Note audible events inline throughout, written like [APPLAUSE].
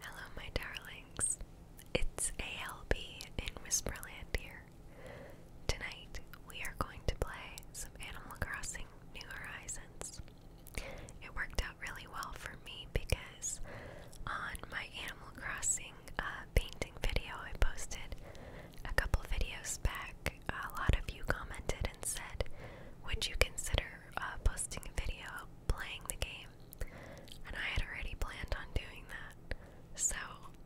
Hello, my darlings. It's ALB in Whisperland here. Tonight, we are going to play some Animal Crossing New Horizons. It worked out really well for me because on my Animal Crossing uh, painting video I posted a couple videos back, a lot of you commented and said, Would you consider uh, posting a video playing the game? and I had already planned on doing that. So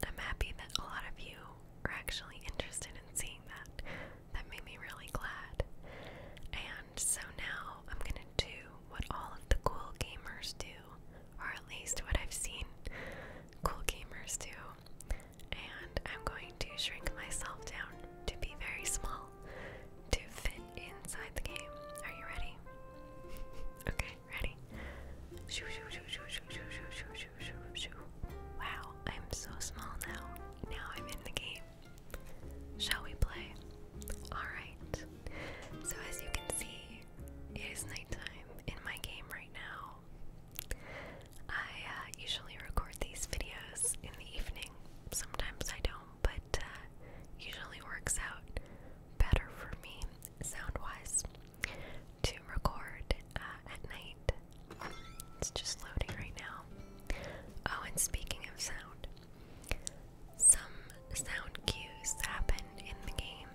I'm happy that a lot of you are actually interested in seeing that. That made me really glad. And so now I'm gonna do what all of the cool gamers do, or at least what I've seen cool gamers do, and I'm going to shrink myself down to be very small to fit inside the game. Are you ready? okay, ready? Wow, I'm so small now. Now I'm in the game. Shall we play? Alright. So, as you can see, it is nighttime in my game right now. I usually record these videos in the evening. Sometimes I don't but uh, usually works out better for me sound wise to record uh, at night. It's just loading right now. Oh, and speaking of sound, some sound cues happen in the game,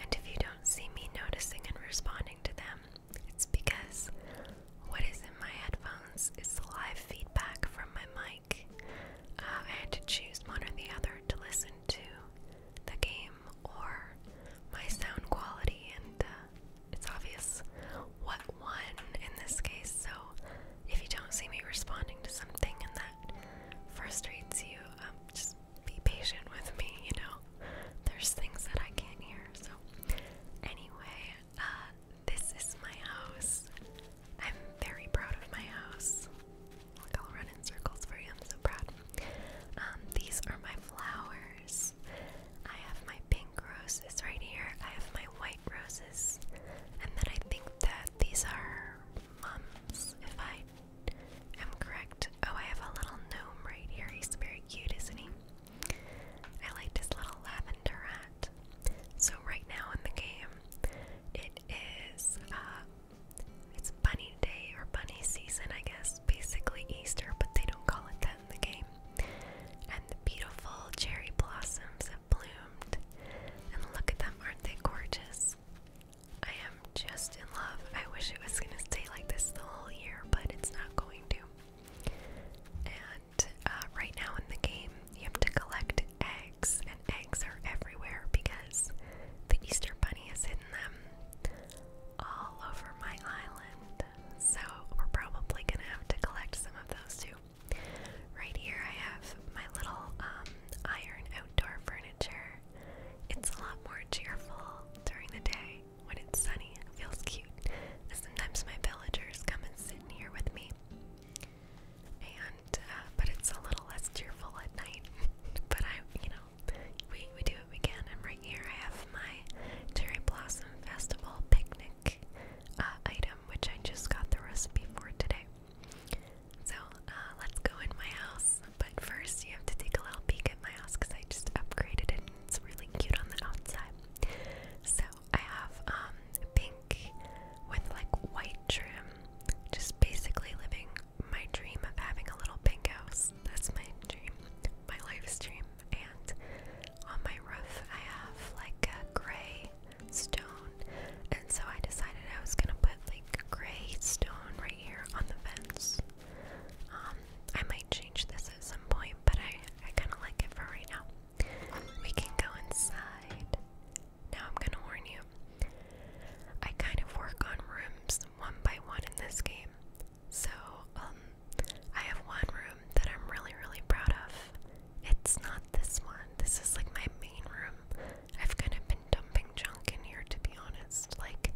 and if you don't see me noticing and responding to them, it's because what is in my headphones is live feedback from my mic. Uh, I had to choose one or the other to listen to the game or my sound quality, and uh, it's obvious what won in this case. So if you don't see me responding to something and that frustrates you, um, just be patient with me, you know. There's things that I can't hear. So, anyway, uh, this is my house. I'm very proud of my house. I'll run in circles for you. I'm so proud. Um, these are my flowers. I have my pink roses right here. I have my white roses. And then I think that these are mums, if I am correct. Oh, I have a little gnome right here. He's very cute, isn't he? I liked his little lavender rat. So, right now in the game, it is, uh, it's Bunny Day or Bunny Season, I guess, basically Easter, but they don't call it that in the game. And the beautiful cherry blossoms have bloomed. And look at them, aren't they gorgeous? I am just in love. I wish it was going to stay like this the whole year, but it's not going to. And uh, right now in the game, you have to collect eggs, and eggs are everywhere because the Easter Bunny has hidden them all over my island. So we're probably gonna have to collect some of those too. Right here, I have my little um, iron outdoor furniture. It's a lot more cheerful during the day when it's sunny. It feels cute. Sometimes my villagers come and sit in here with me and uh, but it's a little less cheerful at night. [LAUGHS] but I, you know, we we do what we can. And right here I have my cherry blossom festival picnic uh, item, which I just got the recipe for today. So uh, let's go in my house. But first, you have to take a little peek at my house because I just upgraded it. it's really cute on the outside. So I have um, pink with like white trim. Just basically living my dream of having a little pink house. That's my dream, my life's dream. And on my roof, I have like a gray stone. And so I decided I was gonna put like gray stone right here on the fence. Um, I might change this at some point, but I, I kind of like it for right now. We can go inside. Now I'm gonna warn you I kind of work on rooms one by one in this game. So, um, I have one room that I'm really, really proud of. It's not this one. This is like my main room. I've kind of been dumping junk in here to be honest. Like,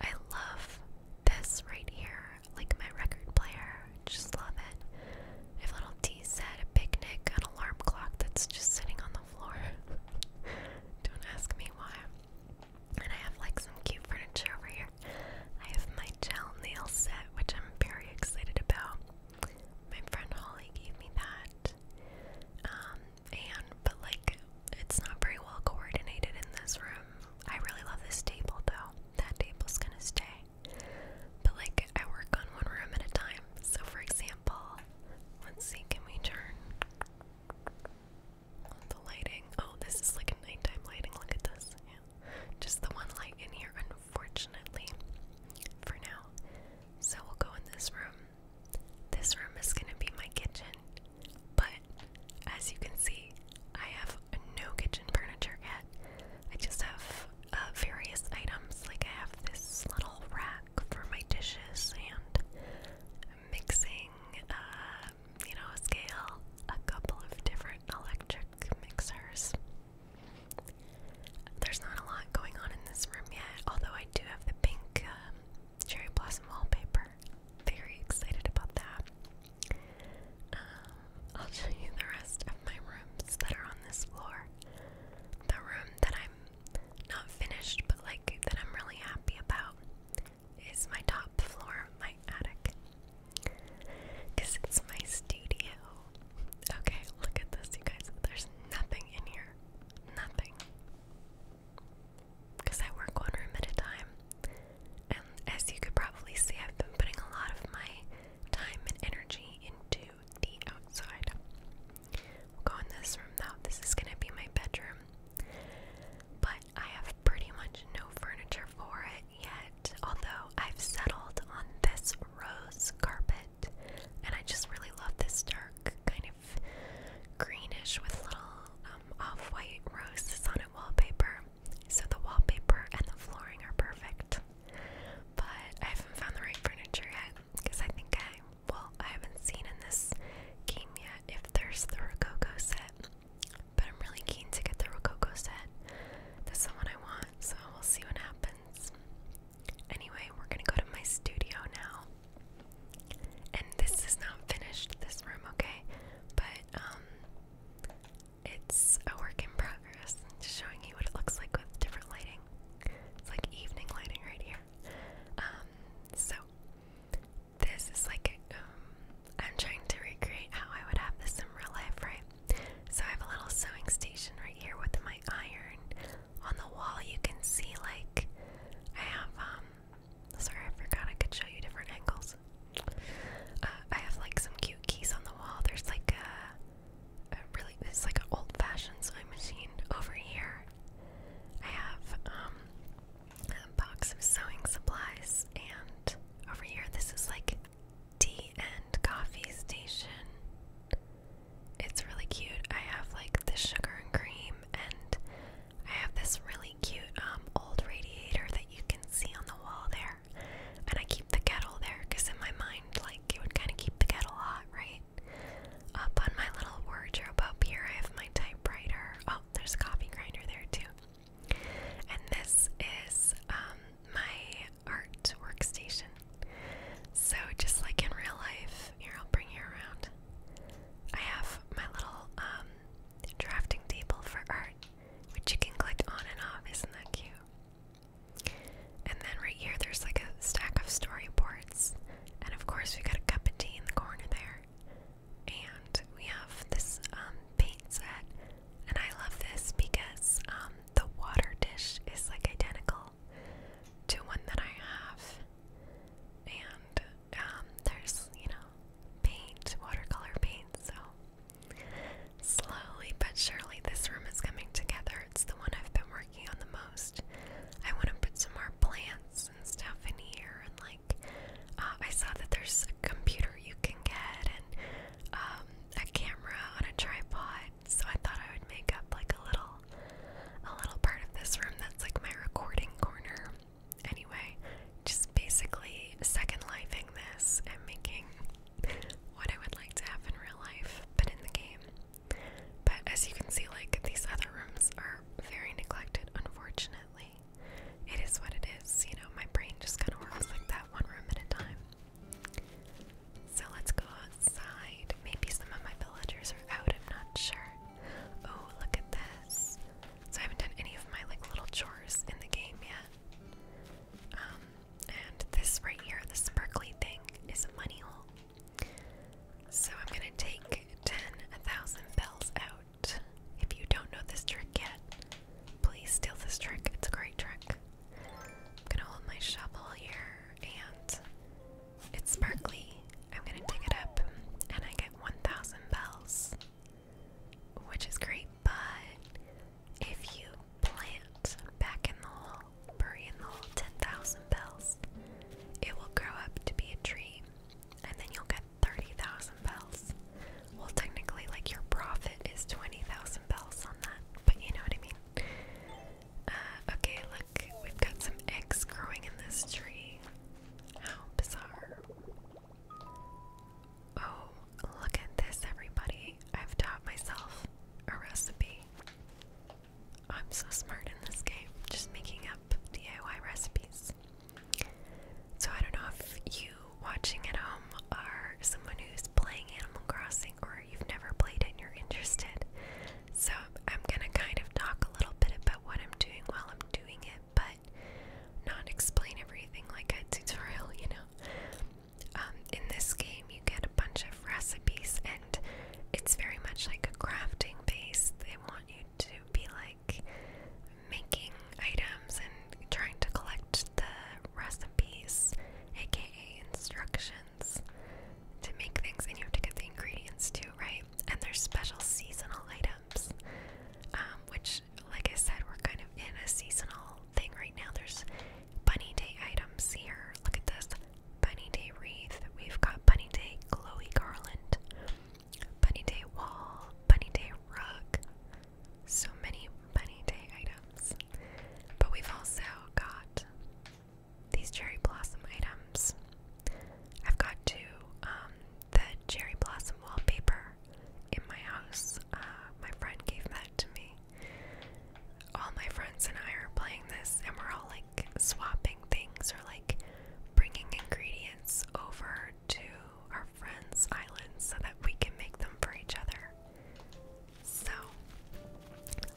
I love this right here. Like, my record player. Just love it. If little T said a picnic, an alarm clock that's just sitting on the floor. [LAUGHS] Don't ask me why. And I have like some cute furniture over here. I have my gel nail set, which I'm very excited about. My friend Holly gave me that. Um, and but like it's not very well coordinated in this room. I really love this table though. That table's gonna stay. But like I work on one room at a time. So for example, Let's see, can we turn the lighting? Oh, this is like a nighttime lighting. Look at this. Yeah. Just the one light in here, unfortunately, for now. So we'll go in this room. This room is going to be my kitchen, but as you can see, I have no kitchen furniture yet. I just have uh, various items. Like I have this little rack for my dishes and mixing, uh, you know, scale, a couple of different electric mixers. There's not a lot going on in this room yet, although I do have the pink um, cherry blossom wallpaper. Very excited about that. Um, I'll show you the rest of my rooms that are on this floor. The room that I'm not finished, but like that I'm really happy about is my top floor of my attic. Because it's my studio. Okay, look at this, you guys. There's nothing in here. Nothing. Because I work one room at a time. And as you could probably see, I've been putting a lot of my time and energy into the outside. go in this room now. This is gonna be my bedroom, but I have pretty much no furniture for it yet. Although I've settled on this rose carpet, and I just really love this dark kind of greenish with little um, off-white roses on it wallpaper. So the wallpaper and the flooring are perfect. But I haven't found the right furniture yet because I think I well I haven't seen in this game yet if there's the Rococo set, but I'm really keen to get the Rococo set. That's the one I want, so we'll see what happens. Anyway, we're gonna go to my studio now, and this is not finished. This room, okay, but um, it's a work in progress. Just showing you what it looks like with different lighting. It's like evening lighting right here. Um, so this is like um, I'm trying to recreate how I would have this in real life, right? So I have a little sewing station right here with my iron. On the wall, you can see like I have um, Sorry, I forgot I could show you different angles. Uh, I have like some cute keys on the wall. There's like a really it's like an old-fashioned sewing machine over here. I have um, a box of sewing supplies, and over here this is like tea and coffee station. It's really cute. I have like the sugar and cream, and I have this really cute um, old radiator that you can see on the wall there. And I keep the kettle there because in my mind, like, it would kind of keep the kettle hot, right? up on my little wardrobe up here. I have my typewriter. Oh, there's a coffee grinder there too. And this is um, my art workstation. So just like in real life, here I'll bring you around. I have my little um, drafting table for art, which you can click on and off. Isn't that cute? And then right here, there's like a stack of storyboards. And of course, we got a cup of tea in the corner there. And we have this um, paint set. And I love this because um, the water dish is like identical to one that I have. And um, there's, you know, paint, watercolor paint. So slowly but surely, this room is coming together. It's the one I've been working working on the most. I want to put some more plants and stuff in here, and like uh, I saw that there's a computer you can get and um, a camera on a tripod. So I thought I would make up like a little, a little part of this room that's like my recording corner. Anyway, just basically second lifing this and making what I would like to have in real life, but in the game. But as you can see, like these other rooms are very neglected, unfortunately. It is what it is, you know, my brain just kind of works like that one room at a time. So let's go outside. Maybe some of my villagers are out, I'm not sure. Oh, look at this. So I haven't done any of my like little chores in the game yet. Um, and this right here, the sparkly thing, is a money hole. So I'm gonna take 10,000 bells out. If you don't know this trick yet, please steal this trick. It's a great trick. I'm gonna hold my shovel here and it's sparkly. I'm gonna dig it up and I get 1,000 bells, which is great, but if you plant back in the hole, bury in the hole 10,000 bells. It will grow up to be a tree, and then you'll get 30,000 bells. Well, technically, like your profit is 20,000 bells on that, but you know what I mean. Uh, okay, look, we've got some eggs growing in this tree. How bizarre. Oh, look at this, everybody. I've taught myself a recipe. I'm so smart in this game, just making up DIY recipes. So I don't know if you watching at home are someone who's playing Animal Crossing or you've never played it and you're interested. So I'm gonna kind of talk a little bit about what I'm doing while I'm doing it, but not explain everything like a [LAUGHS] tutorial, you know. Um, in this game, you get a bunch of recipes, it's very much like a crafting base. They want you to be like making items and trying to collect the recipes, aka instructions, to make things, and you have to get the ingredients too, right? And there's special seasonal items, um, which, like I said, we're kind of in a seasonal thing right now. There's bunny day items here. Look at this Bunny Day wreath. We've got Bunny Day glowy garland, Bunny Day wall, Bunny Day rug. So many Bunny Day items. But we've also got these cherry blossom items. I've got two. Um, the cherry blossom wallpaper in my house. Uh, my friend gave that to me. All my friends and I are playing this, and we're all like, swapping things or like bringing ingredients over to our friends' islands so that we can make them for each other. So,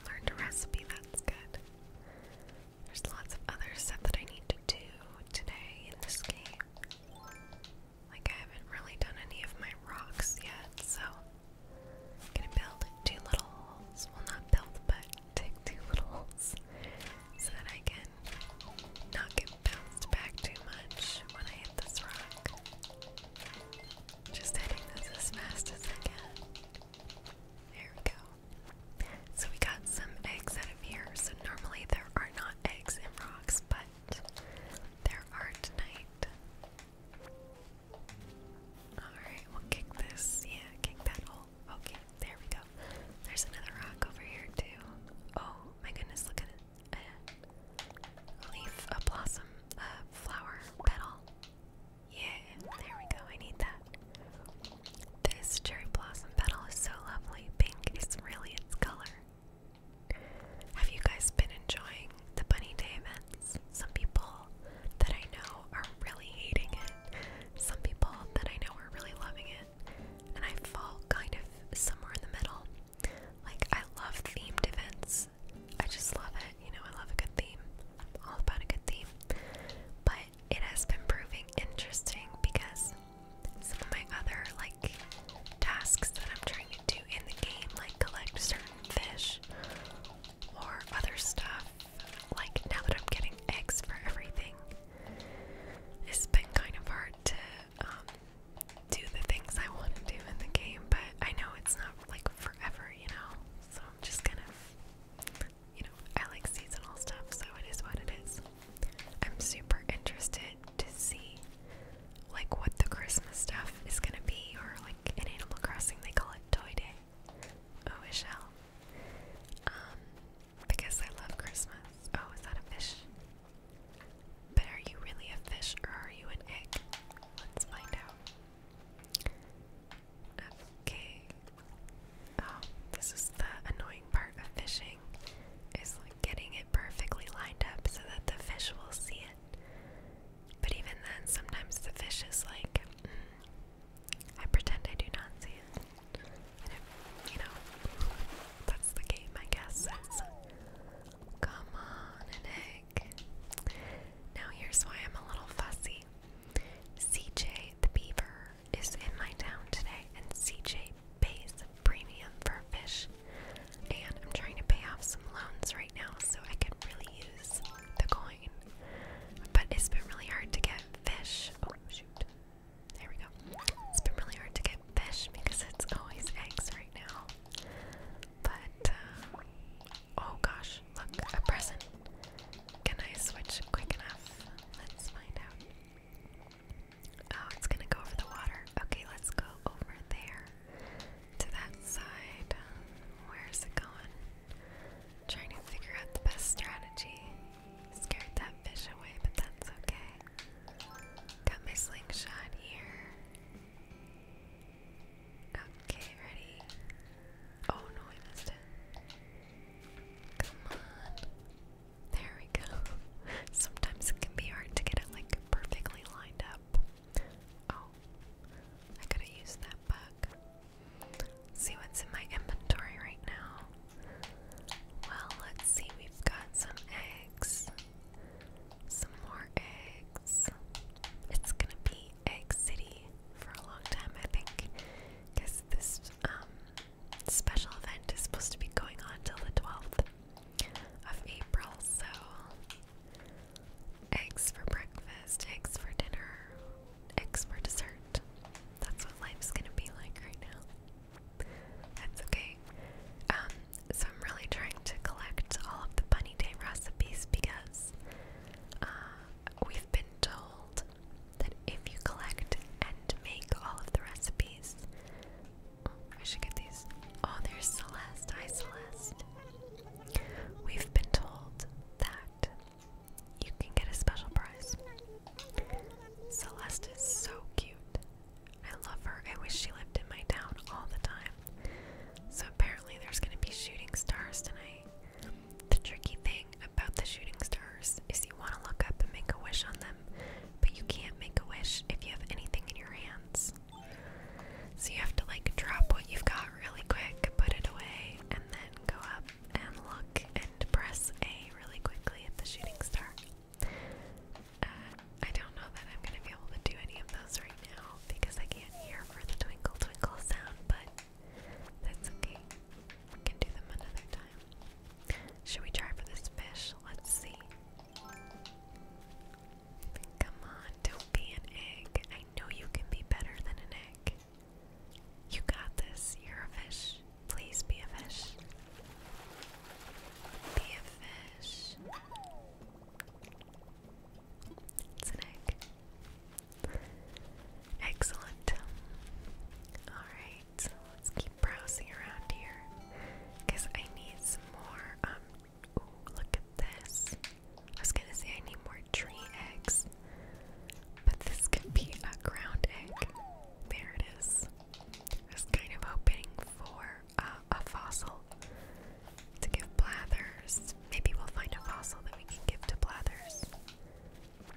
learned a recipe, that's good. There's lots of other stuff that I need to do today in this game. Like, I haven't really done any of my rocks yet, so gonna build two little holes. Well, not build, but take two little holes so that I can not get bounced back too much when I hit this rock. Just hitting this as fast as I can. There we go. So we got some eggs out of here. So normally there are not eggs in rocks, but there are tonight. Alright, we'll kick this. Yeah, kick that hole. Okay, there we go. There's another rock over here, too. Oh my goodness, look at it. A leaf, a blossom, a flower, petal. Yeah, there we go. I need that. This cherry blossom petal is so lovely. Pink is really its color. Have you guys been enjoying the Bunny Day Some people that I know are really hating it. Some people that I know are really loving it, and I fall kind of somewhere in the middle. Like, I love themed events, I just love it. You know, I love a good theme, I'm all about a good theme. But it has been proving interesting because some of my other, like, tasks that I'm trying to do in the game, like collect certain fish or other stuff. Like now that I'm getting eggs for everything, it's been kind of hard to um, do the things I want to do in the game, but I know it's not like forever, you know? So I'm just kind of, you know, I like seasonal stuff, so it is what it is. I'm super interested to see like what the Christmas stuff is gonna be, or like in Animal Crossing they call it Toy Day. Oh, it shall. Um, because I love Christmas. Oh, is that a fish? But are you really a fish or are you an egg? Let's find out. Okay. Oh, this is the annoying part of fishing. Is getting it perfectly lined up so that the fish will see it. But even then, sometimes the fish is like, mm, I pretend I do not see it. And if, you know, that's the game, I guess. come on, an Now, here's why I'm a little fussy. CJ the Beaver is in my town today, and CJ pays premium for fish. And I'm trying to pay off some loans right now, so I could really use the coin. But it's been really hard to get fish. Oh, shoot. There we go. It's been really hard to get fish because it's always eggs right now. But, uh, oh gosh, look, a present. Can I switch quick enough? Let's find out. Oh, it's gonna go over the water. Okay, let's go over there to that side. Where's it going? Trying to figure out the best strategy. Scared that fish away, but that's okay. Got my slingshot here. Okay, ready. Oh no, I missed it. Come on. There we go. [LAUGHS] Sometimes it can be hard to get it like perfectly lined up. Oh, I could have used that bug. See what's in my inventory right now. Well, let's see, we've got some eggs. Some more eggs. It's gonna be Egg City for a long time, I think, because this um, special event is supposed to be going on till the 12th of April, so eggs for breakfast, eggs for dinner, eggs for dessert. That's what life's gonna be like right now. That's okay. Um, so I'm really trying to collect all of the bunny day recipes because uh, we've been told that if you collect and make all of the recipes, oh, should get these. Oh, there's Celeste. Hi, Celeste. We've been told that you can get a special prize. Celeste is so cute. I love her. I wish she lived in my town all the time. So apparently there's going to be shooting stars tonight. The tricky thing about the shooting stars is you want to look up and make a wish on them, but you can't make a wish if you have anything in your hands. So you have to like drop what you've got really quick, put it away, and then go up and look and press A really quickly at the shooting star. Uh, I don't know that I'm going to be able to do any of those right now because I can't hear for the twinkle twinkle sound, but that's okay. We can do them another time. Should we try for this fish? Let's see. Come on, don't be an egg. I know you can be better than an egg. You got this. You're a fish. Please be a fish. Be a fish. It's an egg. Excellent. Alright, let's keep browsing around here. Because I need some more. Um, ooh, look at this. I was gonna say I need more tree eggs. But this could be a ground egg. There it is. I kind of hoping for uh, a fossil to give Blathers. Maybe we'll find a fossil that we can give to Blathers.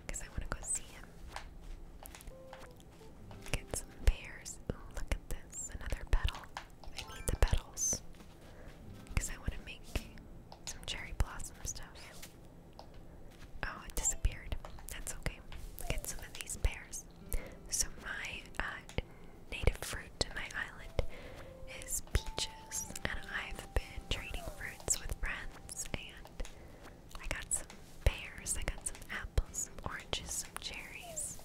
Because I want to go see him. Get some pears. look at this. Another petal. I need the petals. Because I want to make some cherry blossom stuff. Oh, it disappeared. That's okay. Get some of these pears. So my uh, native fruit to my island is peaches, and I've been trading fruits with friends. And I got some pears, I got some apples, some oranges, some cherries.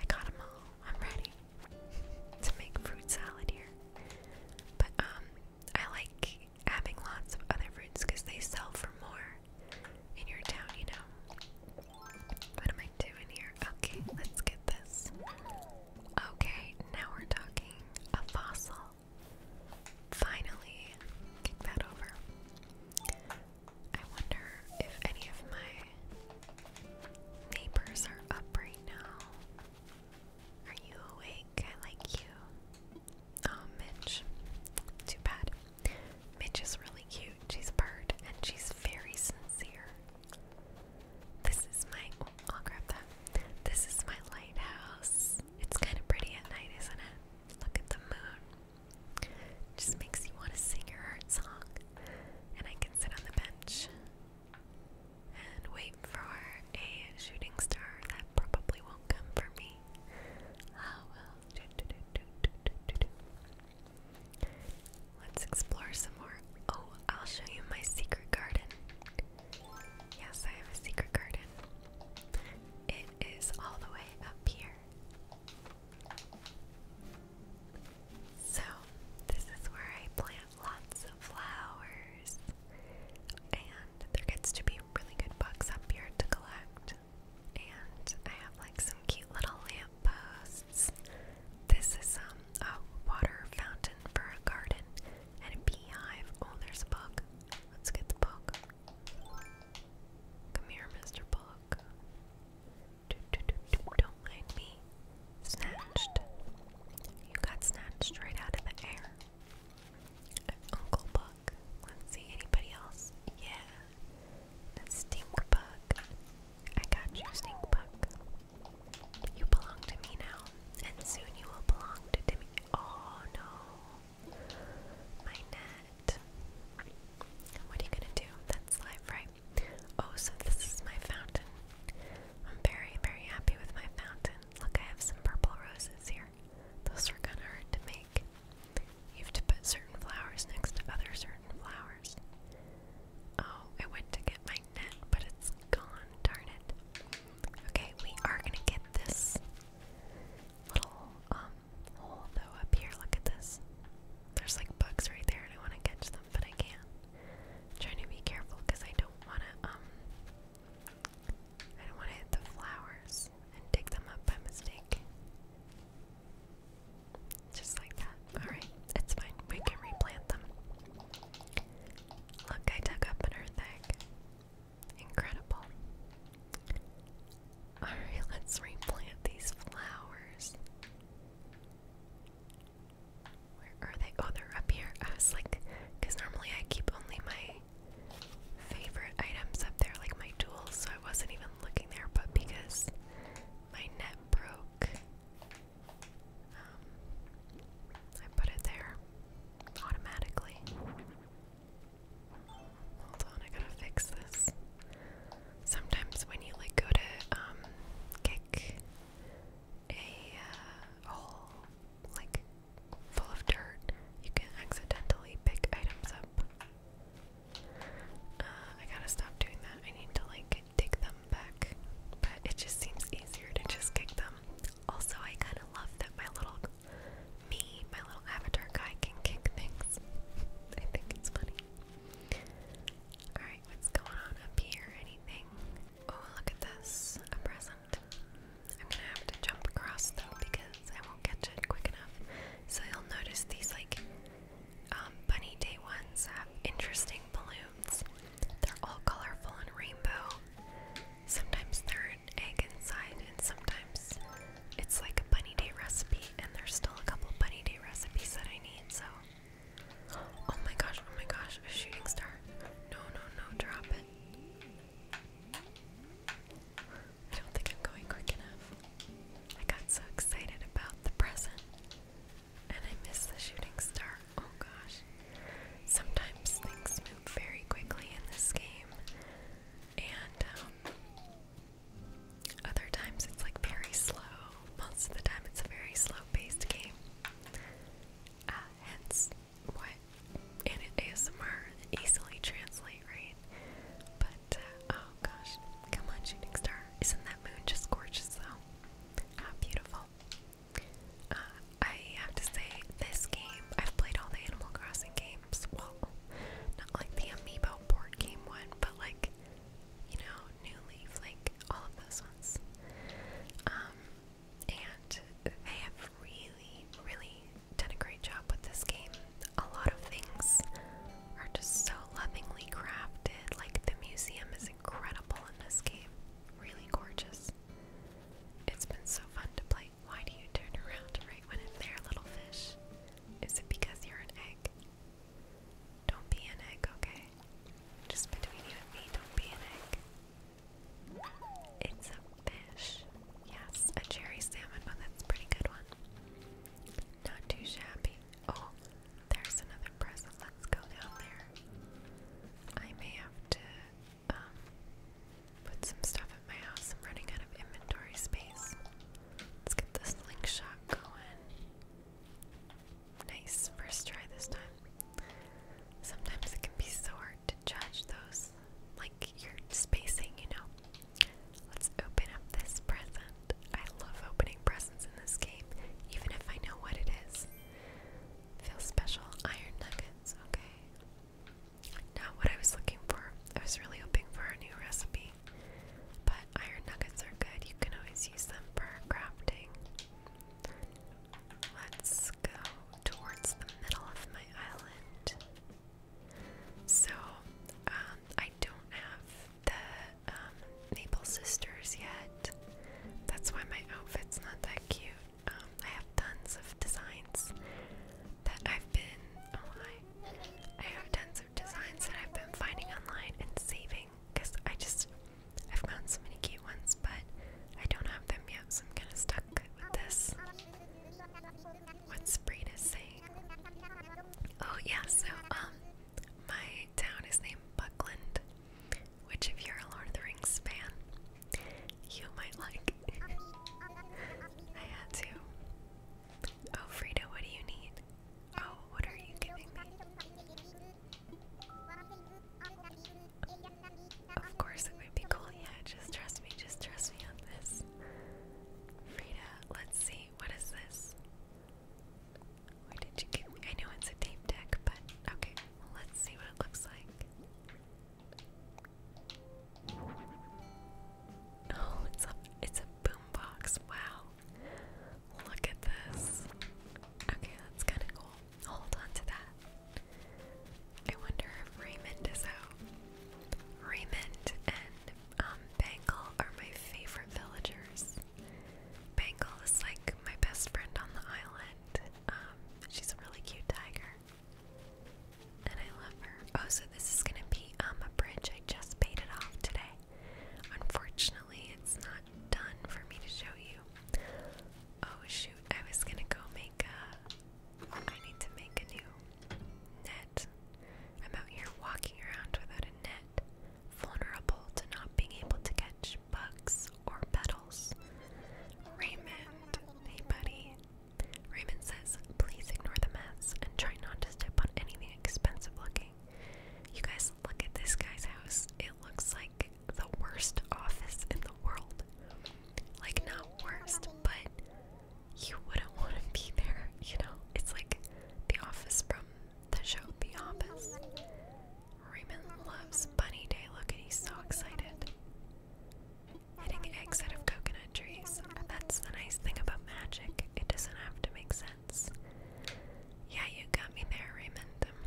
I got them all. I'm ready [LAUGHS] to make fruit salad here. But um, I like having lots of other fruits because they sell for more in your town, you know. What am I doing here? Okay, let's get this. Okay, now we're talking a fossil. Finally, kick that over. I wonder if any of my neighbors are up right now. Are you awake? I like you. Oh, Mitch. Too bad. Mitch is really cute. She's a bird and she's very sincere. This is my. Oh, I'll grab that. This is my lighthouse. It's kind of pretty at night, isn't it? Look at the moon. Just makes you want to sing your heart song. And I can sit on the bench and wait for a shooting star that probably won't come for me. Ah, Let's explore some more. Oh, I'll show you my secret garden. Yes, I have a secret garden. It is all the way up here. So, this is where I plant lots of flowers, and there gets to be really good bugs up here to collect. And I have like some cute little lampposts. This is um, a water fountain for a garden and a beehive. Oh, there's a bug. Let's get the bug. Come here, Mr. Bug. Do, not mind me. Snatched. You got snatched right out of the air. Uncle Buck. Let's see, anybody else? Yeah. The stink bug. I got you, stink bug. You belong to me now, and soon you will belong to Timmy. Oh no. My net. What are you gonna do? That's life, right? Oh, so this is my fountain. I'm very, very happy with my fountain. Look, I have some purple roses here. Those are kind of hard to make. You have to put certain flowers next to other certain flowers. Oh, I went to get my net, but it's gone. Darn it. Okay, we are gonna get this little um hole up here. Look at this. There's like bugs right there, and I want to catch them, but I can't. trying to be careful because I don't want to um I don't want to hit the flowers and dig them up by mistake. Just like that. Alright, it's fine. We can replant them. Look, I dug up an earth egg. Incredible. Alright, let's replant these flowers are they? Oh, they're up here. I was like, because normally I keep only my favorite items up there, like my tools, so I wasn't even looking there, but because my net broke, um, I put it there automatically. Hold on, I gotta fix this. Sometimes when you like go to um, kick a uh, hole, like full of dirt, you can accidentally pick items up. Uh, I gotta stop doing that. I need to like dig them back, but it just seems easier to just kick them. Also, I kind of love that my little me, my little avatar guy, can kick things. I think it's funny. Alright, what's going on up here? Anything? Oh, look at this. A present. I'm gonna have to jump across though because I won't catch it quick enough. So you'll notice these like um, bunny day ones have interesting balloons. They're all colorful and rainbow. Sometimes there's an egg inside, and sometimes it's like a bunny day recipe, and there's still a couple bunny day recipes that I need, so. Oh my gosh, oh my gosh, a shooting star. No, no, no, drop it. I don't think I'm going quick enough. I got so excited about the present and I missed the shooting star. Oh gosh. Sometimes things move very quickly in this game, and um, other times it's like very slow. Most of the time, it's a very slow paced game. Uh, hence, what in ASMR easily translate, right? But uh, oh gosh, come on, shooting star! Isn't that moon just gorgeous though? How beautiful! Uh, I have to say, this game I've played all the Animal Crossing games. Well, not like the Amiibo board game one, but like you know, New Leaf, like all of those ones. Um, and they have really, really done a great job with this game. A lot of things are just so lovingly crafted, like the museum is incredible in this game, really gorgeous. It's been so fun to play. Why do you turn around right when it's there, little fish? Is it because you're an egg? Don't be an egg, okay? Just between you and me, don't be an egg. It's a fish. Yes, a cherry salmon but oh, That's a pretty good one. Not too shabby. Oh, there's another present. Let's go down there. I may have to um, put some stuff at my house. I'm running out of inventory space. Let's get the slingshot going. Nice. First try this time. Sometimes it can be so hard to judge those, like your spacing, you know. Let's open up this present. I love opening presents in this game, even if I know what it is. Feel special iron nuggets, okay. Not what I was looking for. I was really hoping for a new recipe. But iron nuggets are good. You can always use them for crafting. Let's go towards the middle of my island. So, um, I don't have the um, Sisters yet. That's why my outfit's not that cute. Um, I have tons of designs that I've been. Oh, I have tons of designs that I've been finding online and saving because I just. I've found so many cute cute but I don't have them yet, so I'm kind of stuck with this. What Spreen saying. Oh yeah, so um, my town is named Buckland, which if you're a Lord of the Rings fan, you might like. [LAUGHS] I had to. Oh, Frida, what do you need? Oh, what are you giving me? Of course it would be cool, yeah, just trust me, just trust me on this. Frida, let's see, what is this? Where did you give me? I know it's a tape deck, but okay, let's see what it looks like. Oh, it's a, it's a boombox, wow. Look at this. Okay, that's kind of cool. Hold on to that. I wonder if Raymond is out. Raymond and um, Bangle are my favorite villagers. Bangle is like my best friend on the island. Um, she's a really cute tiger. And I love her. Oh, so this is gonna be um a bridge. I just painted off today. Unfortunately, it's not done for me to show you. Oh shoot, I was gonna go make a I need to make a new net. I'm out here walking around without a net, vulnerable to not being able to catch bugs or petals. Raymond, hey buddy. Raymond says, please ignore the mess and try not to step on anything expensive looking. You guys look at this guy's house. It looks like the worst office in the world like not worst, but you wouldn't want to be there, you know? It's like the office from the show The Office. Raymond loves Bunny Day. Look at he's so excited. Hitting eggs out of coconut trees. That's the nice thing about magic. It doesn't have to make sense. Yeah, you got me there, Raymond. Um,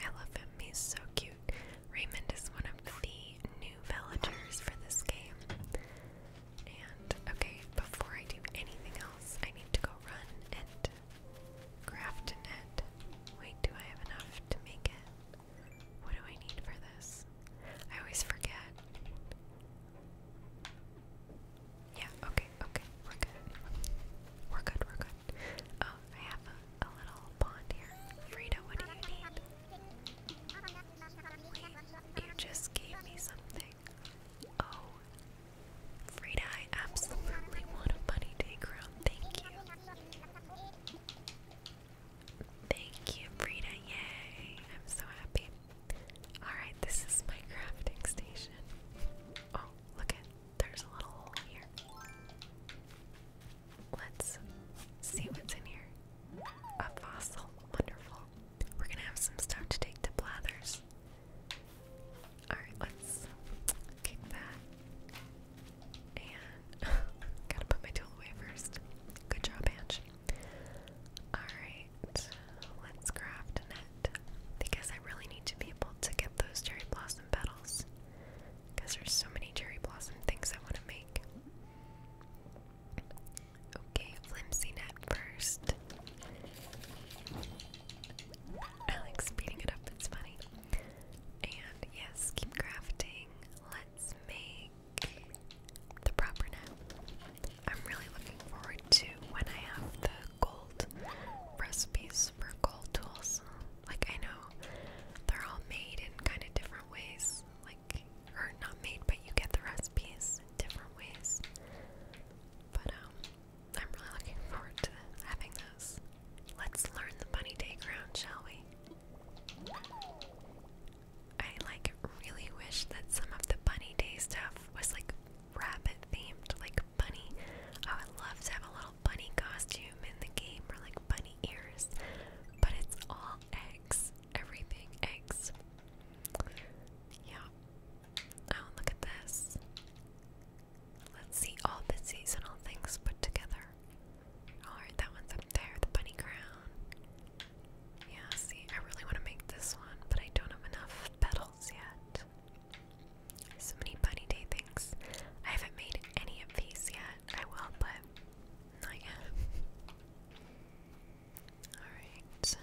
I so cute. Raymond is one of the new villagers for this game. And okay, before I do anything else, I need to go run and craft a net. Wait, do I have enough to make it? What do I need for this? I always forget. Yeah, okay, okay, we're good. We're good, we're good. Oh, I have a, little pond here. Frida, what do you need? You just gave me something. Oh, Frida, I absolutely want a bunny take round. Thank you. Thank you, Frida. Yay. I'm so happy. Alright, this is my crafting station. Oh, look there's a little hole here. Let's see what's in here. A fossil. Wonderful. We're gonna have some stuff to take to Blathers. Alright, let's kick that. And [LAUGHS] gotta put my tool away first. Good job, Ange. Alright, let's craft a net. Because I really need to be able to get those cherry blossom petals because there's so many cherry blossom things I want to make. Okay, flimsy net first. I speeding it up, it's funny. And yes, keep crafting. Let's make the proper net. I'm really looking forward to when I have the gold recipes for gold tools. Like I know they're all made in kind of different ways. Like or not made, but you get the recipes different ways. But um, I'm really looking forward to having those. Let's learn the bunny day ground, shall we? I like really wish that some of the bunny day stuff was like rabbit themed, like bunny. Oh, I would love to have a little bunny costume in the game or like bunny ears, but it's all eggs. Everything eggs. Yeah. Oh, look at this. Let's see all the seasonal things put together. Alright, that one's up there, the bunny crown. Yeah, see, I really want to make this one, but I don't have enough petals yet. So many bunny day things. I haven't made any of these yet. I will, but not yet. Alright.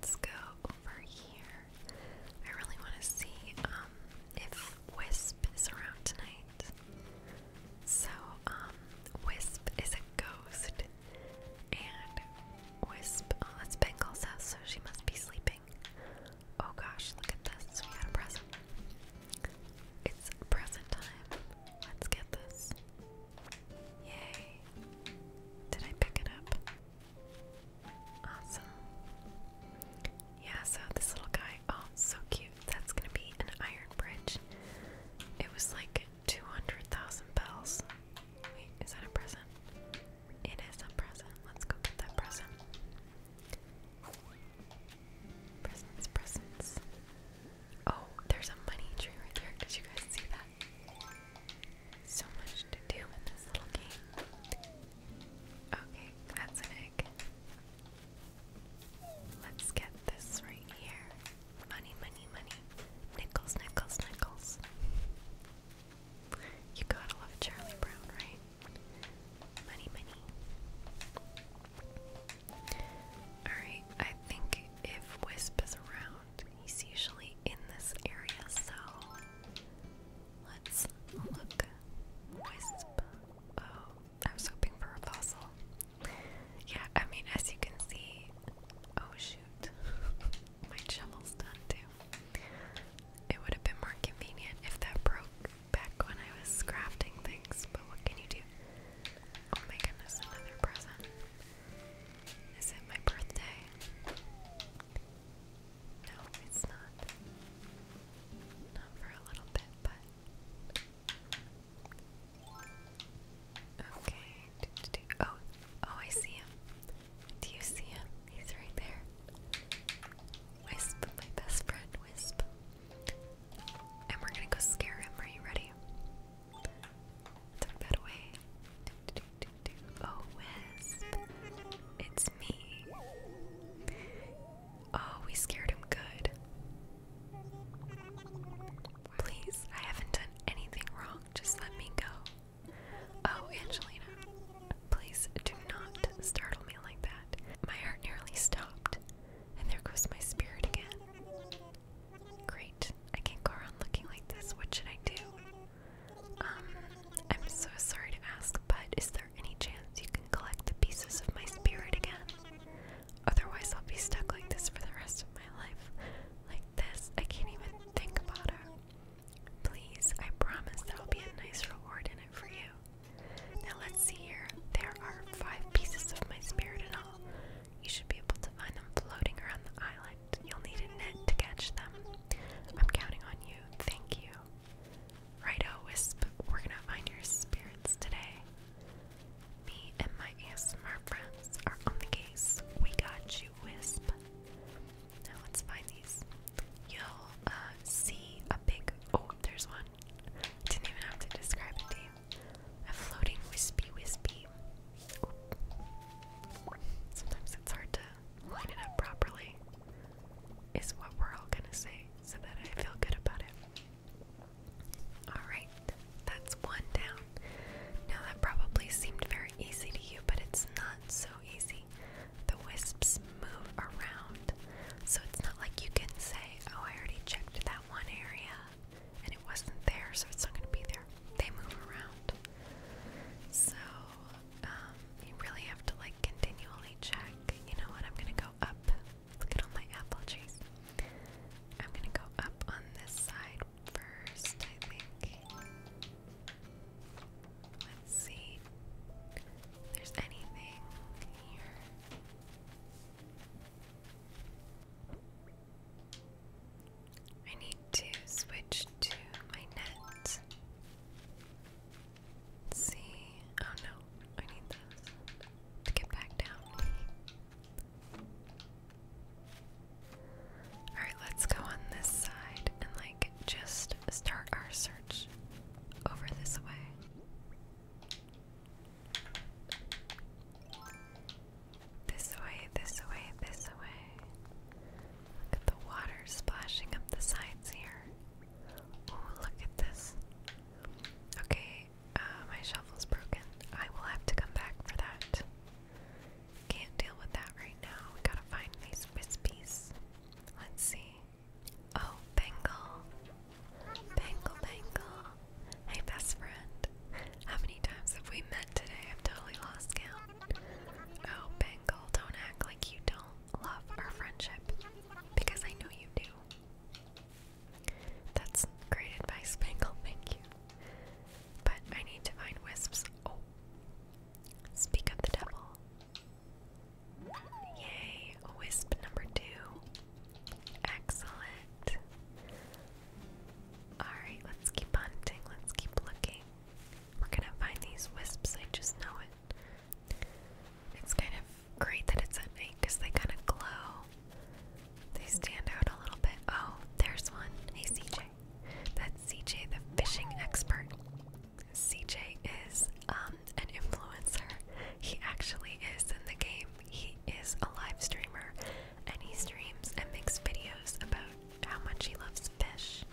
Let's go over here. I really want to see um, if Wisp is around tonight. So, um, Wisp is a ghost. And Wisp, oh, that's Bengal's house, so she must be sleeping. Oh gosh, look at this. We got a present. It's present time. Let's get this. Yay. Did I pick it up? Awesome. Yeah, so this little guy. Oh, so cute. That's gonna be an iron bridge. It was like 200,000 bells. Wait, is that a present? It is a present. Let's go get that present. Presents, presents. Oh, there's a money tree right there. Did you guys see that? So much to do in this little game. Okay, that's an Let's get this right here. Money, money, money. Nickels, nickels, nickels. You gotta love Charlie Brown, right? Alright, I think if Wisp is around, he's usually in this area, so let's look. Wisp. Oh, I was hoping for a fossil. Yeah, I mean, as you can see. Oh, shoot. [LAUGHS] My shovel's done too. It would have been more convenient if that broke back when I was crafting things, but what can you do? Oh my goodness, another present. Is it my birthday? No, it's not. Not for a little bit, but. Okay. Oh, oh, I see him. Do you see him? He's right there. Wisp, my best friend, Wisp. And we're gonna go scare him. Are you ready? Tuck that away. Oh, Wisp. It's me. Oh, we scared him good. Please, I haven't done anything wrong. Just let me go. Oh, Angelina. Please do not startle me like that. My heart nearly stopped. And there goes my spirit again. Great. I can't go around looking like this. What should I do? Um, I'm so sorry to ask, but is there any chance you can collect the pieces of my spirit again? Otherwise, I'll be stuck like this for the rest of my life. Like this, I can't even think about it. Please, I promise there will be a nice reward in it for you. Now let's see here. There are five pieces of my spirit and all. You should be able to find them floating around the island. You'll need a net to catch them. I'm counting on you. Thank you. Righto, oh, Wisp. We're gonna find your spirits today. Me and my smart friends are on the case. We got you, Wisp. Now let's find these. You'll uh, see a big. Oh, there's one. Didn't even have to describe the name. A floating wispy wispy. Sometimes it's hard to line it up properly, is what we're all gonna say, so that I feel good about it. Alright, that's one down. Now that probably seemed very easy to you, but it's not so easy. The wisps move around. So it's not like you can say, oh, I already checked that one area and it wasn't there, so it's not going to be there. They move around. So um, you really have to like continually check. You know what? I'm going to go up. Look at all my apple trees. I'm going to go up on this side first, I think. Let's see there's anything here. I need to switch to my net. see. Oh no, I need those to get back down. Alright, let's go on this side and like just start our search over this way. This way, this way, this way. Look at the water splashing up the sides here. Oh, look at this. Okay, uh, my shovel's broken. I will have to come back for that. Can't deal with that right now. We gotta find these wispies. Let's see. Oh, Bengal. Bengal, Bengal. Hey, best friend. How many times have we met today? I've totally lost count. Oh, Bengal, don't act like you don't love our friendship. Because I know you do. That's great advice, Bengal. Thank you. But I need to find wisps. Oh. Speak of the devil. Yay, wisp number two. Excellent. Alright, let's keep hunting, let's keep looking. We're gonna find these wisps, I just know it. It's kind of great that it's at night they kind of glow. They stand out a little bit. Oh, there's one. Hey, CJ. That's CJ, the fishing expert. CJ is um, um, an influencer. He actually is in the game. He is a live streamer and he streams and makes videos about how much he loves fish.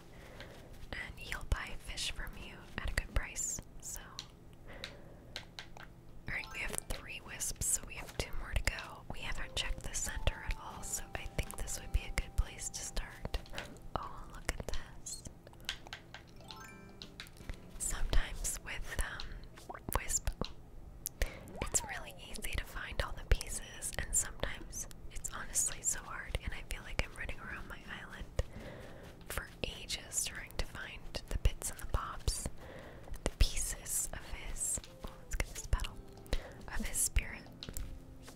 And he'll buy fish from you at a good price. So, alright, we have three wisps, so we have two more to go. We haven't checked the center at all, so I think this would be a good place to start. Oh, look at this. Sometimes with um, Wisp, it's really easy to find all the pieces, and sometimes it's honestly so hard, and I feel like I'm running around my island for ages trying to find the bits and the bobs, the pieces of his. Oh, let's get this petal. Of his spirit.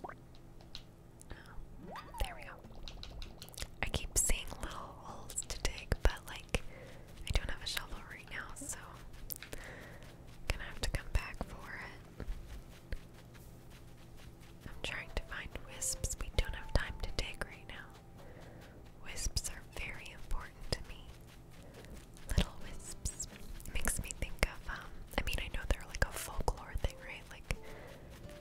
Oh, there we go. I keep seeing little holes to dig, but like I don't have a shovel right now, so I'm gonna have to come back for it. I'm trying to find wisps. We don't have time to dig right now. Wisps are very important to me. Little wisps makes me think of um I mean I know they're like a folklore thing, right? Like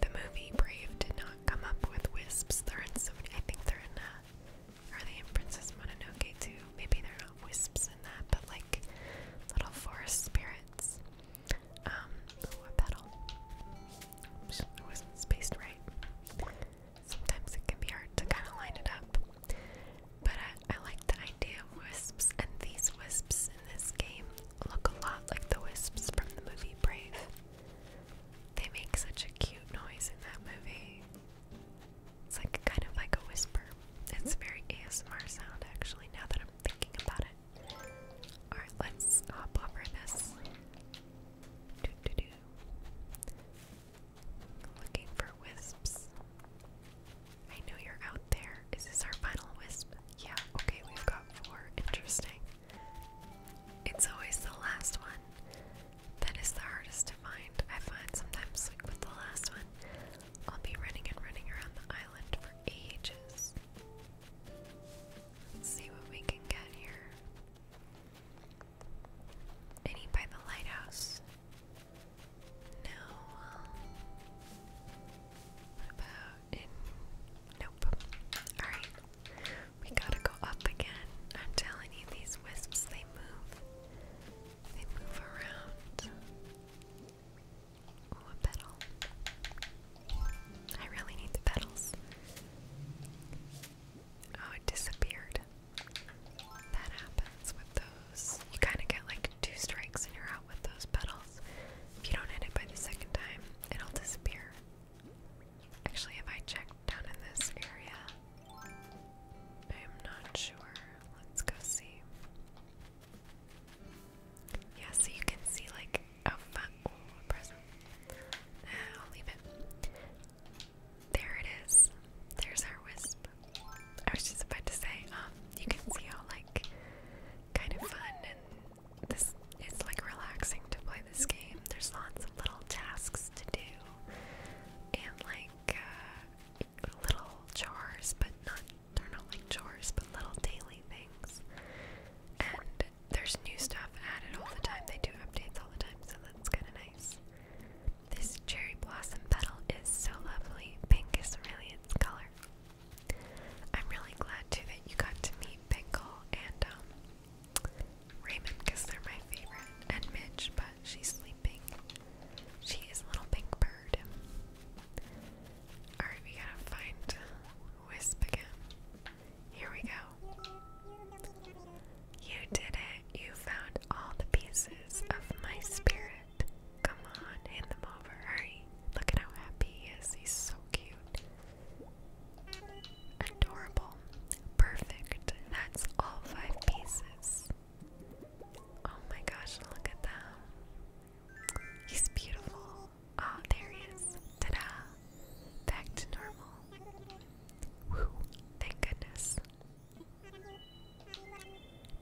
the movie Brave did not come up with wisps. They're so many. I think there are uh, are they in Princess Mononoke too? Maybe they're not wisps in that, but like little forest spirits. Um, ooh, a it wasn't spaced right. Sometimes it can be hard to kind of line it up. But I like the idea of wisps, and these wisps in this game look a lot like the wisps from the movie Brave. They make such a cute noise in that movie. It's like kind of like a whisper. It's a very ASMR sound actually, now that I'm thinking about it. Alright, let's hop over this. Doo -doo -doo. Looking for wisps. I know you're out there. Is this our final wisp? Yeah, okay, we've got four. Interesting. It's always the last one that is the hardest to find. I find sometimes, like with the last one, I'll be running and running around the island for ages. see what we can get here. Any by the lighthouse? No. What about Nope. Alright. We gotta go up again. I'm telling you, these wisps, they move. They move around. Ooh, a I really need the petals. Oh, it disappeared. That happens with those. You kind of get like two strikes and you're out with those petals. If you don't hit it by the second time, it'll disappear. Actually, if I check down in this area, I'm not sure. Let's go see. Yeah, so you can see like a fun present. Uh, I'll leave it. There it is. There's our wisp. I was just about to say, um, you can see how like kind of fun and this it's like relaxing to play this game. There's lots of little tasks to do and like uh, little chores, but not they're not like chores, but little daily things. And there's new stuff added all the time. They do updates all the time, so that's kind of nice. This cherry blossom petal is so lovely. Pink is really its color. I'm really glad too that you got to meet Pinkle and um Raymond they're my favorite, and Mitch, but she's sleeping. She is a little pink bird. Alright, we gotta find Wisp again. Here we go. You did it. You found all the pieces of my spirit. Come on, hand them over. Hurry. Look at how happy he is. He's so cute. Adorable. Perfect. That's all five pieces. Oh my gosh, look at them. He's beautiful. Ah, oh, there he is. Ta da! Back to normal. Whew, thank goodness.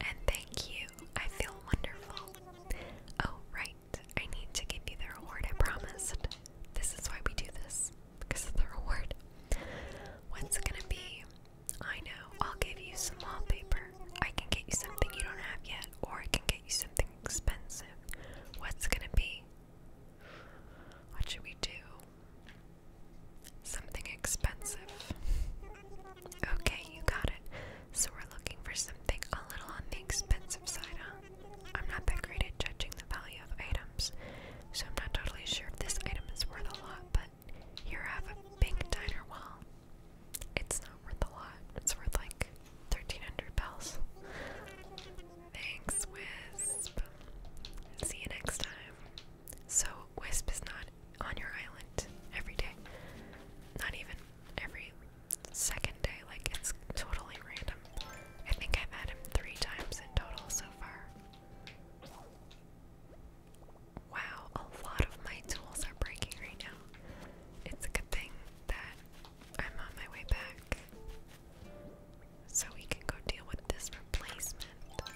And thank you. I feel wonderful. Oh, right. I need to give you the reward I promised. This is why we do this because of the reward. What's it gonna be? I know, I'll give you some wallpaper. I can get you something you don't have yet, or I can get you something expensive. What's it gonna be? What should we do? Something expensive. Okay, you got it. So we're looking for something a little on the expensive side, huh? I'm not that great at judging the value of items, so I'm not totally sure if this item is worth a lot, but here I have a pink diner wall. It's not worth a lot, it's worth like 1300 bells. Thanks, Wisp. See you next time. So, Wisp is not on your island every day. Not even every second day, like, it's totally random. I think I've had him three times in total so far. Wow, a lot of my tools are breaking right now. It's a good thing that I'm on my way back. So we can go deal with this replacement.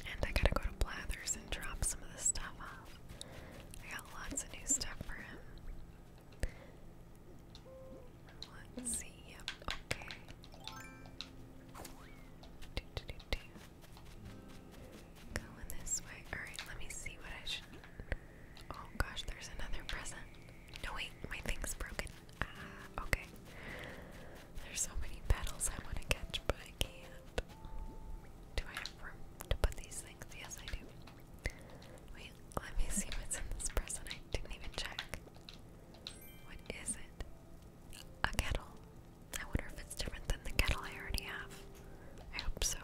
And I gotta go to Blathers and drop some of this stuff off. I got lots of new stuff for him. Let's yep, okay. Do, Going this way. Alright, let me see what I should. Oh gosh, there's another present. No, wait, my thing's broken. Ah, okay. There's so many petals I want to catch, but I can't. Do I have room to put these things? Yes, I do. Wait, let me see what's in this present. I didn't even check. What is it? A kettle. I wonder if it's different than the kettle I already have. I hope so.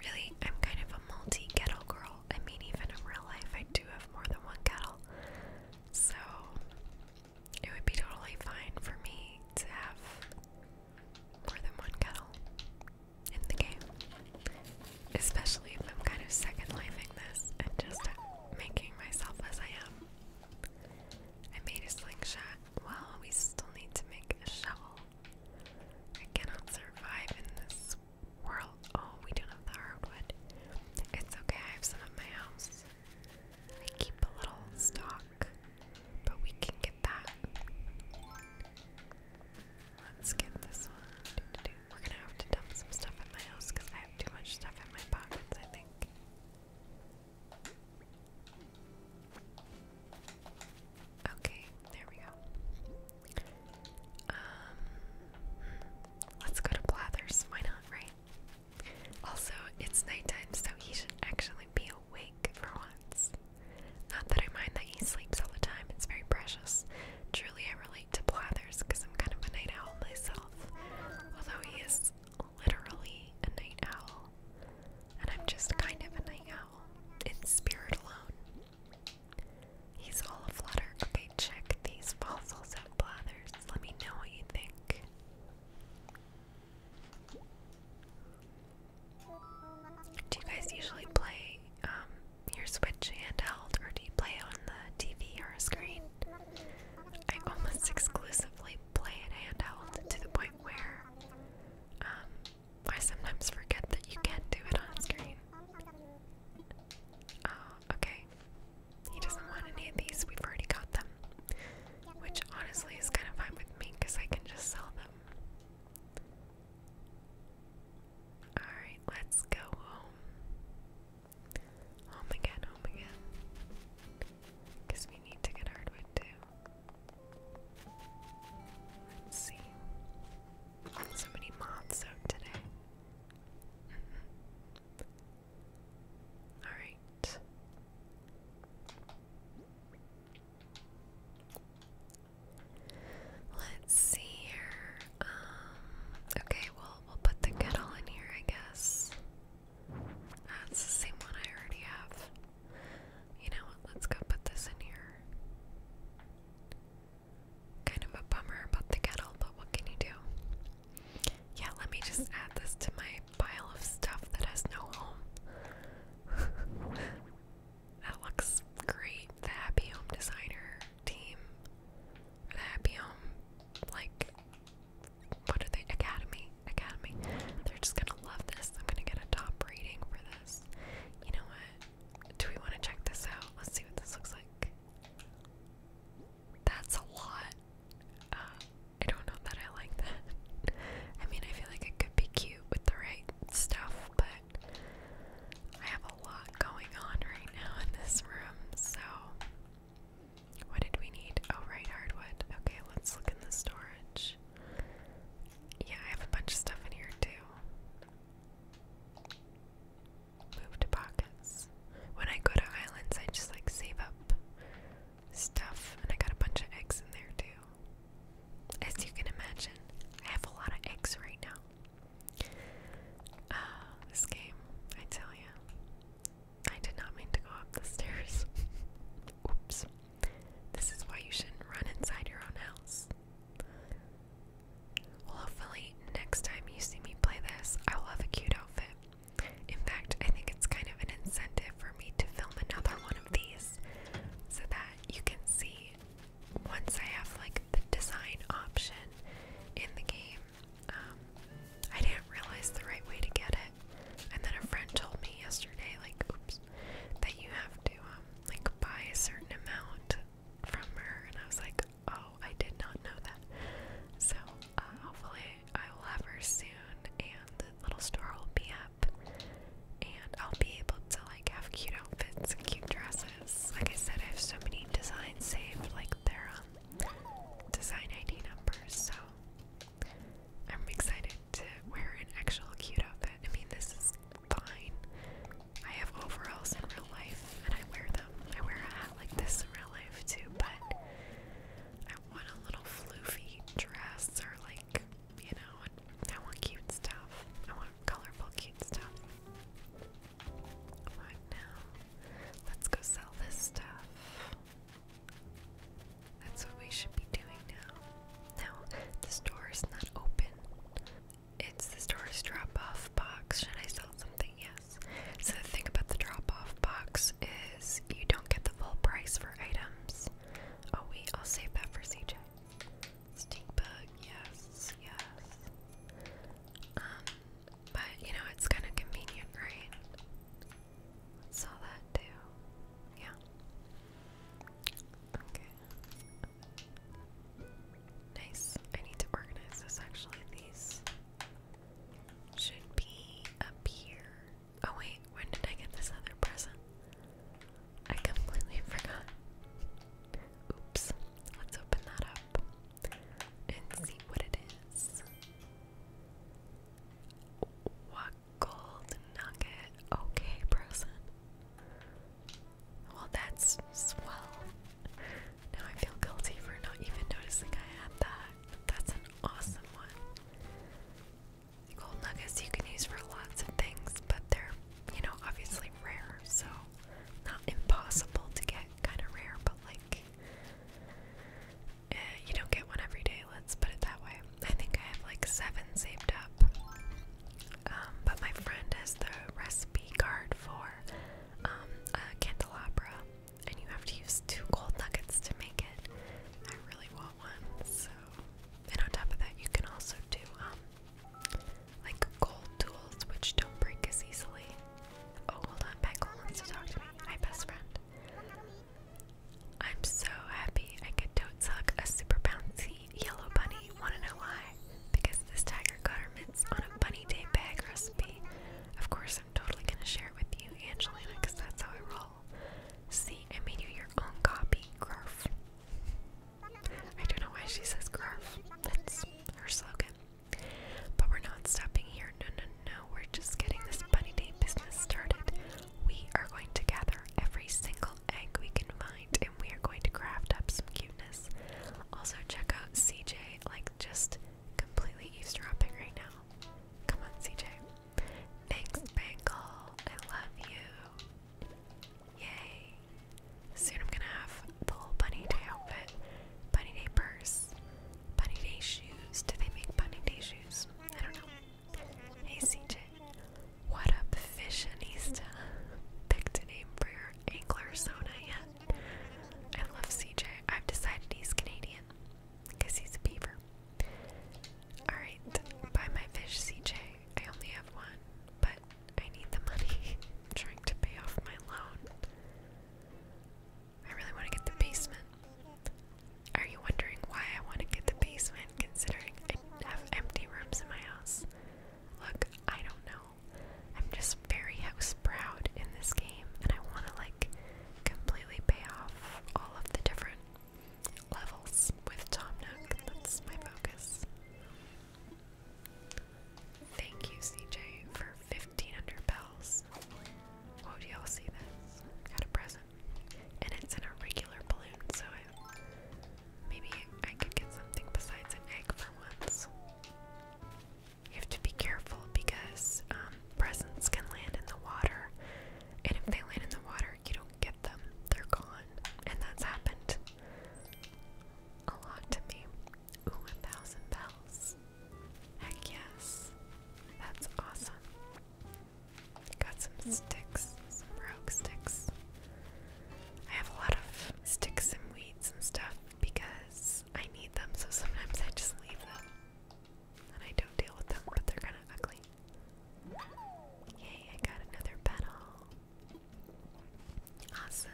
Really, I'm kind of a multi kettle girl. I mean, even in real life, I do have more than one kettle. So, it would be totally fine for me to have more than one kettle in the game especially if I'm kind of second lifing this and just making myself as I am. I made a slingshot. Well, we still need to make a shovel. I cannot survive in this world. Oh, we don't have the hardwood. It's okay, I have some at my house. I keep a little stock, but we can get that. Let's get this one. We're gonna have to dump some stuff in my house because I have too much stuff in my pockets, I think. Okay, there we go. Um, let's go to Blathers. Why not, right? Also, it's nighttime, so he should actually be awake for once. Not that I mind that he sleeps all the time, it's very precious delicious. Truly, I relate to Blathers because I'm kind of a night owl myself. Although he is literally a night owl, and I'm just kind of a night owl in spirit alone. He's all aflutter. Okay, check these fossils out, Blathers. Let me know what you think. Do you guys usually play um, your Switch handheld or do you play on the TV or a screen? I almost exclusively play handheld to the point where um, I sometimes forget that you can do it on screen. Oh, okay. He doesn't want any of these, we've already got them. Which honestly is kind of fine with me because I can just sell them. Alright, let's go home. Home again, home again. Because we need to get hardwood too. Let's see. So many moths out today. Mm-hmm. Alright. Let's see here. Um, okay, well, we'll put the kettle in here, I guess. That's the same one I already have. You know Let's go put this in here. Kind of a bummer about the kettle, but what can you do? Yeah, let me just add this to my pile of stuff that has no home. [LAUGHS] that looks great. The Happy Home Designer team happy home, like, what are they? Academy. Academy. They're just gonna love this. I'm gonna get a top rating for this. You know what? Do we want to check this out? Let's see what this looks like. That's a lot. Uh, I don't know that I like that. [LAUGHS] I mean, I feel like it could be cute with the right stuff, but I have a lot going on right now in this room, so what did we need? Oh, right, hardwood. Okay, let's look in the storage. Yeah, I have a bunch of stuff in here too. Move to pockets. When I go to islands, I just like save up stuff, and I got a bunch of eggs in there too. As you can imagine, I have a lot of eggs right now. Uh, this game, I tell you. I did not mean to go up the stairs. [LAUGHS] Oops. This is why you shouldn't run inside your own house. Well, hopefully, next time you see me play this, I will have a cute outfit. In fact, I think it's kind of an incentive for me to film another one of these so that you can see once I have like the design option in the game. Um, I didn't realize the right way to get it, and then a friend told me yesterday, like, that you have to um, like buy a certain amount from her, and I was like, oh, I did not know that. So uh, hopefully I will have her soon, and the little store will be up, and I'll be able to like have cute outfits cute dresses like I said, I have so many designs saved, like their um, design ID numbers, so I'm excited to wear an actual cute outfit. I mean, this is fine. I have overalls in real life, and I wear them. I wear a hat like this in real life too, but I want a little floofy dress or like, you know, I want cute stuff. I want colorful, cute stuff. What now? Let's go sell this stuff. That's what we should be doing now. Now, the store is not open. It's the store's drop off box. Should I sell something? Yes. So, the thing about the drop off box is you don't get the full price for items. Oh, wait, I'll save that for CJ. Stink bug, yes, yes. Um, but you know, it's kind of convenient, right? let that too. Yeah. Okay. Nice. I need to organize this actually. These should be up here. Oh, wait, when did I get this other present? I completely [LAUGHS] forgot. Oops. Let's open that up and see what it is. What gold nugget? Okay, Brosen. Well, that's swell. Now I feel guilty for not even noticing I had that. That's an awesome one. Gold nuggets you can use for lots of things, but they're, you know, obviously rare, so not impossible to get, kind of rare, but like eh, you don't get one every day. Let's put it that way. I think I have like seven saved up. Um, but my friend has the recipe card for um, a candelabra, and you have to use two gold nuggets to make it. I really want one, so. And on top of that, you can also do um, like gold tools which don't break as easily. Oh, hold on, Becca wants to talk to me. My best friend. I'm so happy I could tote suck a super bouncy yellow bunny. Wanna know why? Because this tiger got her mitts on a bunny day bag recipe. Of course, I'm totally gonna share it with you, Angelina, because that's how I roll. See, I made you your own copy, Grarf. I don't know why she says Grarf. That's her slogan. But we're not stopping here. No, no, no. We're just getting this bunny day business started. We are going to gather every single egg we can find and we are going to craft up some cuteness. Also, check out CJ, like just completely eavesdropping right now. Come on, CJ. Thanks, Bangle. I love you. Yay. Soon I'm gonna have the whole bunny day outfit, bunny day purse, bunny day shoes. Do they make bunny day shoes? I don't know. CJ, what up, fishionista? Picked a name for your angler sona yet? I love CJ. I've decided he's Canadian because he's a beaver. Alright, buy my fish, CJ. I only have one, but I need the money. [LAUGHS] trying to pay off my loan. I really want to get the basement. Are you wondering why I want to get the basement considering I have empty rooms in my house? Look, I don't know. I'm just very house proud in this game and I want to like completely pay off all of the different levels with Tom Nook. That's my focus. Thank you, CJ, for 50 1500 bells. Whoa, do y'all see this? Got a present. And it's in a regular balloon, so maybe I could get something besides an egg for once. You have to be careful because um, presents can land in the water, and if they land in the water, you don't get them. They're gone, and that's happened a lot to me. Ooh, a thousand bells yes. Heck yes. That's awesome. Got some sticks, some rogue sticks. I have a lot of sticks and weeds and stuff because I need them, so sometimes I just leave them. And I don't deal with them, but they're kind of ugly. Yay, I got another petal. Awesome.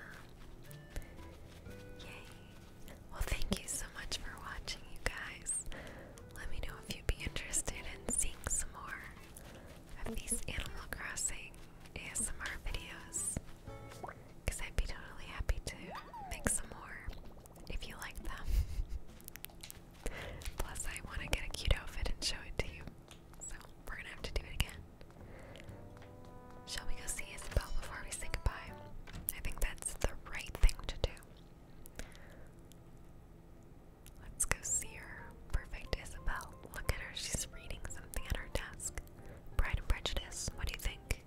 Yay. Well, thank you so much for watching, you guys. Let me know if you'd be interested in seeing some more of these Animal Crossing ASMR videos. Because I'd be totally happy to make some more if you like them. Plus, I want to get a cute outfit and show it to you. So, we're gonna have to do it again. Shall we go see Isabel before we say goodbye? I think that's the right thing to do. Let's go see her. Perfect Isabel. Look at her, she's reading something at her desk. Pride and Prejudice, what do you think?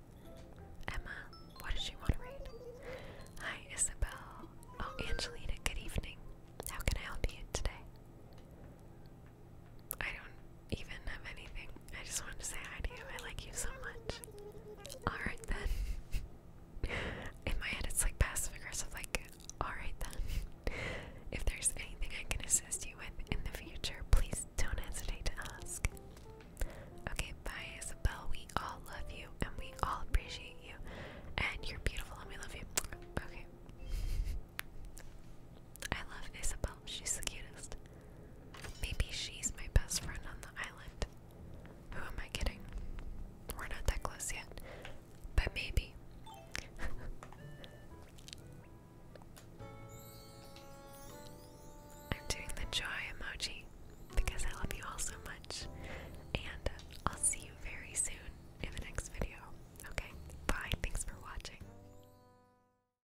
Emma, what does she want to read? Hi, Isabel. Oh, Angelina, good evening. How can I help you today? I don't even have anything. I just want to say hi to you. I like you so much. Alright then. [LAUGHS] In my head, it's like passive aggressive, like, alright then. If there's anything I can assist you with in the future, please don't hesitate to ask. Okay, bye, Isabel. We all love you and we all appreciate you. And you're beautiful and we love you. Okay. I love Isabel, she's the cutest. Maybe she's my best friend on the island. Who am I kidding? We're not that close yet, but maybe. [LAUGHS] I'm doing the joy emoji because I love you all so much, and I'll see you very soon in the next video. Okay, bye, thanks for watching.